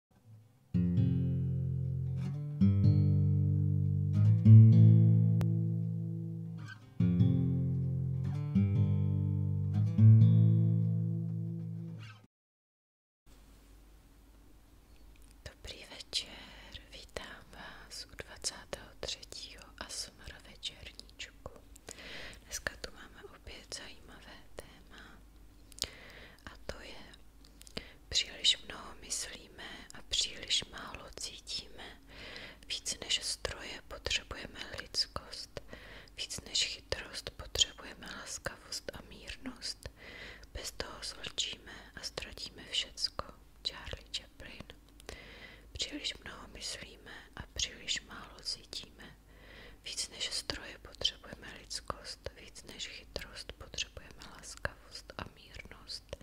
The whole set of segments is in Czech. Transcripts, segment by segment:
Dobrý večer, vítám vás u 23. ASMR večerníčku. Dneska tu máme opět zajímavé téma a to je Příliš mnoho myslíme a příliš málo cítíme. Víc než stroje potřebujeme lidskost, víc než chytrost potřebujeme laskavost a mírnost. Bez toho zlčíme a ztratíme všecko. Charlie Chaplin. Příliš mnoho myslíme a příliš málo cítíme. Víc než stroje potřebujeme lidskost, víc než chytrost potřebujeme laskavost a mírnost.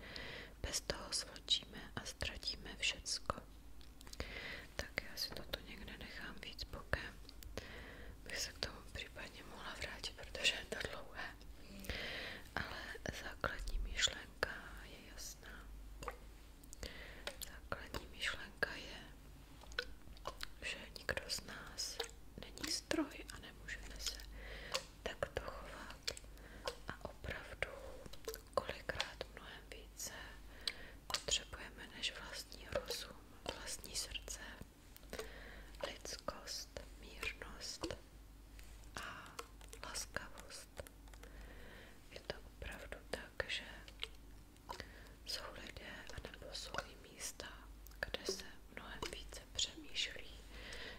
Bez toho zvlčíme a ztratíme všecko. Tak já si toto někde nechám víc bokem. Bych se k tomu případně mohla vrátit, protože je to dlouhé. Ale základní myšlenka je jasná. Základní myšlenka je že nikdo z nás není stroj a nemůžeme se takto chovat. A opravdu kolikrát mnohem více potřebujeme než vlastní rozum, vlastní srdce, lidskost, mírnost a laskavost. Je to opravdu tak, že jsou lidé anebo jsou místa, kde se mnohem více přemýšlí,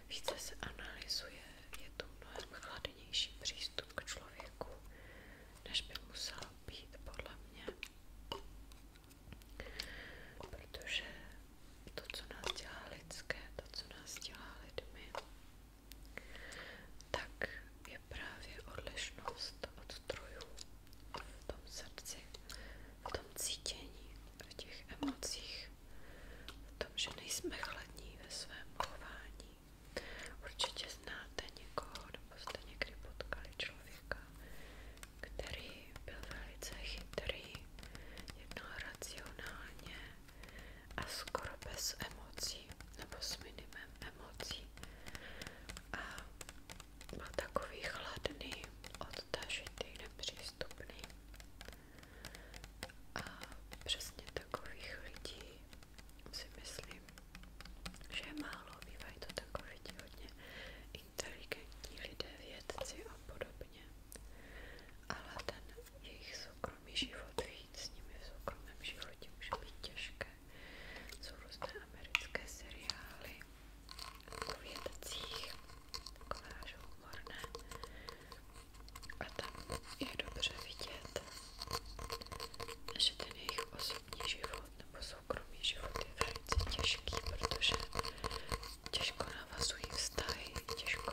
více se analyzuje, je to mnohem chladnější přístup k člověku, než by musel být podle mě. Protože to, co nás dělá lidské, to, co nás dělá lidmi, tak je právě odlišnost od strojů v tom srdci, v tom cítění, v těch emocích, v tom, že nejsme chladní ve svém chování. Určitě znáte někoho, nebo jste někdy potkali člověka, který byl velice chytrý, jednal racionálně a skoro bez emocí, nebo s minimem emocí. A má no, takový chladný, odtažitý, nepřístupný. A přesně takových lidí si myslím, že je málo. Bývají to takoví ti hodně inteligentní lidé, vědci a podobně. Ale ten jejich soukromý život, víc s nimi v soukromém životě může být těžké jsou různé americké seriály o vědcích, takové až humorné. A tam je dobře vidět, že ten jejich osobní život nebo soukromý život je velice těžký, protože těžko navazují vztahy, těžko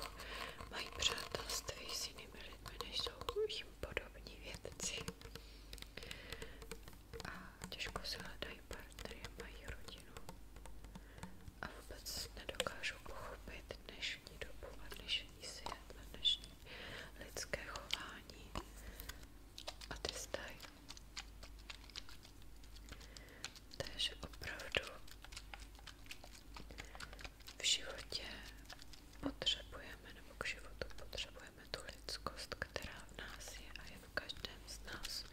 mají přátelství s jinými lidmi, než jsou jim podobní vědci. A těžko se hledají partnery, mají rodinu a vůbec nedokážu pochopit dnešní dobu a lidské chování a ty vztahy. Takže opravdu v životě potřebujeme, nebo k životu potřebujeme potřebujeme lidskost, která v nás je a je v každém z nás,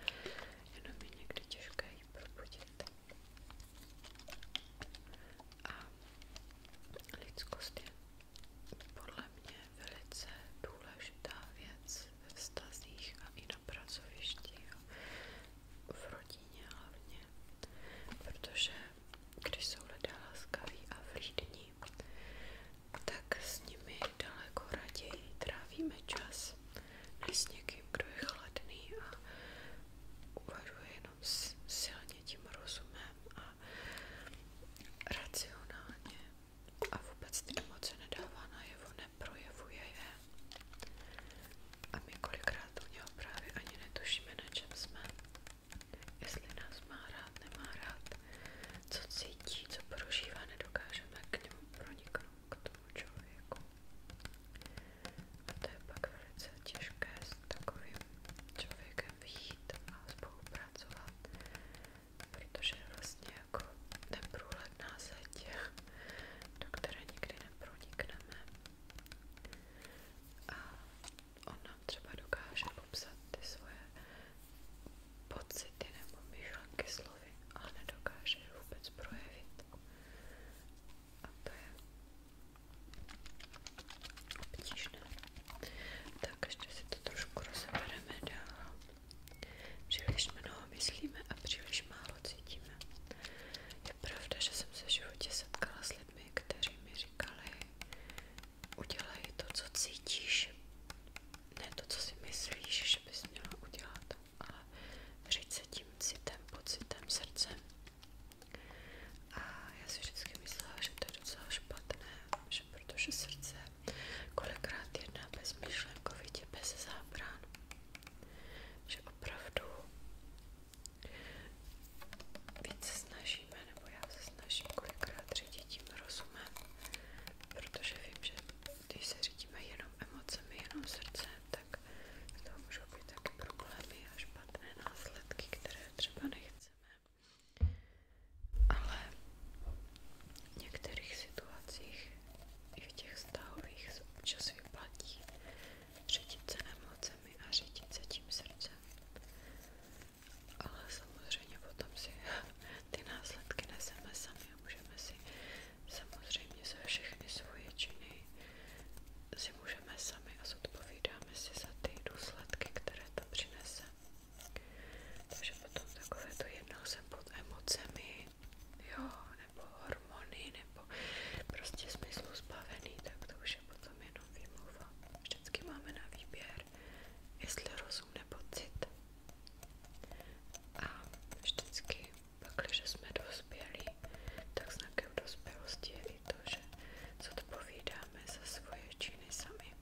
jenom je někdy těžké ji A lidskost je podle mě velice důležitá věc ve a i na pracovišti, v rodině hlavně, protože když jsou lidé laskaví a vlídní, tak s nimi daleko raději trávíme čas, než s někým, kdo je chladný a uvažuje jenom silně tím rozumem a racionálně a vůbec ty emoce nedává najevo, neprojevuje je. A my kolikrát u něho právě ani netušíme, na čem jsme jestli nás má rád, nemá rád, co cítí, co prožívá, nedokážeme k němu proniknout, k tomu člověku. A to je pak velice těžké s takovým člověkem vyjít a spolupracovat, protože je vlastně jako neprůhledná zeď, do které nikdy nepronikneme. A ona třeba dokáže popsat ty svoje pocity nebo myšlenky slovy, ale nedokáže je vůbec projevit. A to je obtížné. Tak ještě si to trošku rozebereme dál. Příliš mnoho myslíme a příliš málo cítíme. Je pravda, že jsem se v životě setkala s lidmi, kteří mi říkali, udělej to, co cítíš, ne to, co si myslíš, že bys měla udělat, ale říct se tím citem, pocitem, srdcem. A já si vždycky myslela, že to je docela špatné, že protože srdce kolikrát jedná bez myšlenkovitě, bez zábran, že opravdu víc se snažíme, nebo já se snažím kolikrát řídit tím rozumem, protože vím, že když se řídíme jenom emocemi, jenom srdcem, tak z toho můžou být taky problémy a špatné následky, které třeba nechceme. Ale v některých situacích i v těch vztahových se občas vyplatí řídit se emocemi zemi a řídit se tím srdcem. Ale samozřejmě potom si ty následky neseme sami a můžeme si samozřejmě za všechny svoje činy si můžeme sami a zodpovídáme si za ty důsledky, které to přinese. Takže potom takové to jednal jsem pod emocemi, jo, nebo hormony, nebo prostě smyslu zbavený, tak to už je potom jen jenom výmluva. Vždycky máme na výběr, jestli rozum nebo cit. A vždycky, pak, když jsme dospělí, tak znakem dospělosti je i to, že zodpovídáme za svoje činy sami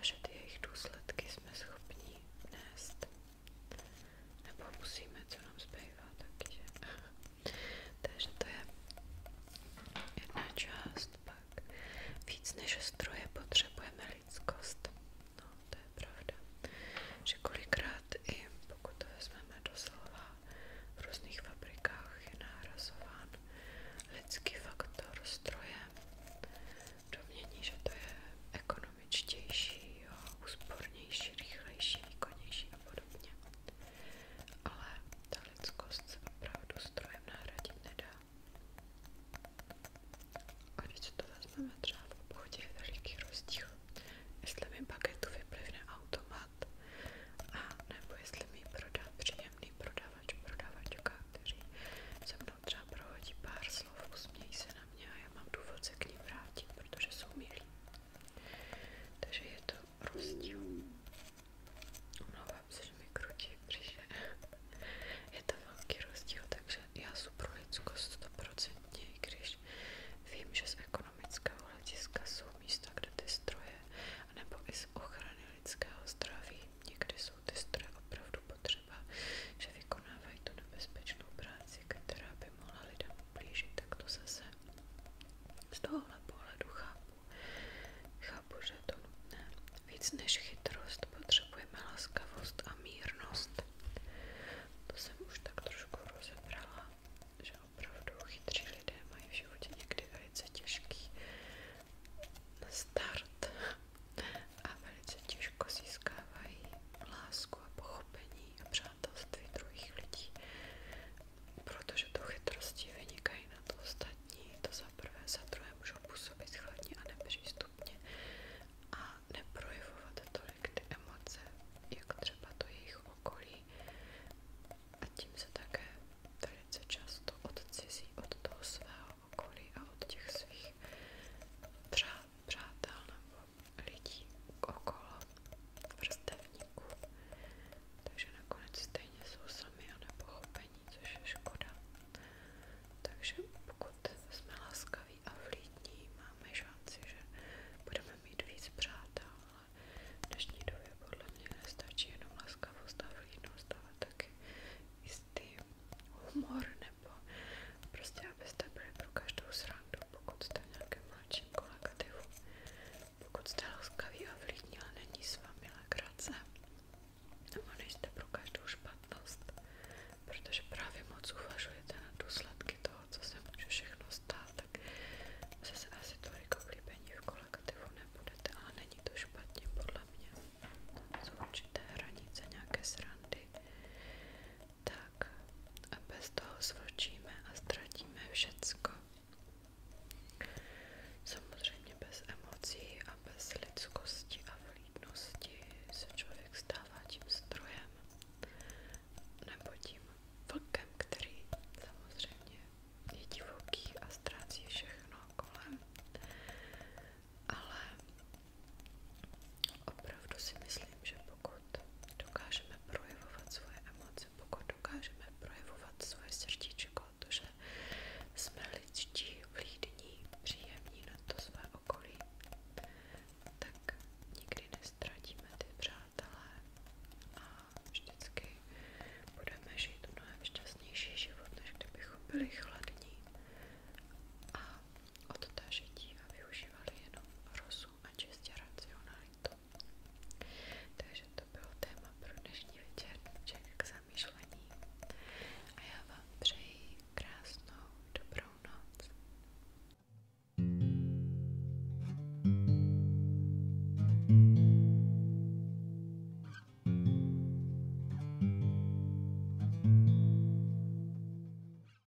a že ty jejich důsledky jsme schopni nést. Nebo musíme, co nám zbývá taky, že? Takže to je jedna část, pak víc než stroje potřebujeme lidskost. No, to je pravda. Že kolikrát i pokud to vezmeme doslova, v různých fabrikách je nárazován lidský faktor strojem. Domění, že to je ekonomičtější, jo, úspornější, rychlejší, výkonnější a podobně ale ta lidskost se opravdu strojem nahradit nedá. A když to vezmeme třeba v obchodě, je veliký rozdíl, jestli mi bagetu vyplivne automat, a nebo jestli mi prodá příjemný prodavač, prodavačka, kteří se mnou třeba prohodí pár slov, usmějí se na mě a já mám důvod se k ním vrátit, protože jsou milí. Takže je to rostí. Omlouvám se, že mi Je to velký rozdíl, takže já super lidsko 100%, i když vím, že z ekonomického hlediska kde ty stroje, nebo i z ochrany zdraví, někdy jsou ty stroje opravdu potřeba, že vykonávají tu nebezpečnou práci, která by mohla lidem ublížit, tak zase z tohohle pohledu chápu, chápu, že je to nutné. Víc než chytrost potřebujeme laskavost a mírnost. To jsem už tak trošku rozebrala, že opravdu chytří lidé mají v životě někdy velice těžký start a velice těžko získávají lásku a pochopení a přátelství druhých lidí protože to chytrosti vynikají na to ostatní, to za prvé, za druhé můžou působit chladně a nepřístupně a neprojevovat tolik ty emoce, jak třeba to jejich okolí a tím se také velice často odcizí od toho svého okolí a od těch svých přátel nebo lidí okolo vrstevníků, takže nakonec stejně jsou sami a nepochopení, což je škoda. Takže pokud jsme laskaví a vlídní, máme šanci, že budeme mít víc přátel, ale v dnešní době podle mě nestačí jenom laskavost a vlídnost, ale taky jistý humor nebo prostě abyste byli pro každou srandu, pokud jste v nějakém mladším vašem kolektivu. Pokud jste laskavý a vlídní, ale není s vámi legrace, nebo nejste pro každou špatnost, protože právě moc uvažujete na důsledky toho, co se může všechno stát, tak zase asi tolik oblíbení v kolektivu nebudete, ale není to špatně podle mě. Jsou určité hranice, nějaké srandy, tak a bez toho zvlčíme a ztratíme všecko. Samozřejmě bez emocí a bez lidskosti a vlídnosti se člověk stává tím strojem nebo tím vlkem, který samozřejmě je divoký a ztrácí všechno kolem. Ale opravdu si myslím, že pokud dokážeme projevovat svoje emoce, dokážeme projevovat svoje srdíčko, to, že jsme lidští, vlídní, příjemní na to své okolí, tak nikdy nestratíme ty přátelé a vždycky budeme žít mnohem šťastnější život, než kdybychom byli chladní a od té žití a využívali jenom rozum a čistě racionalitu. Takže to bylo téma pro dnešní večerníček k zamyšlení a já vám přeji krásnou dobrou noc.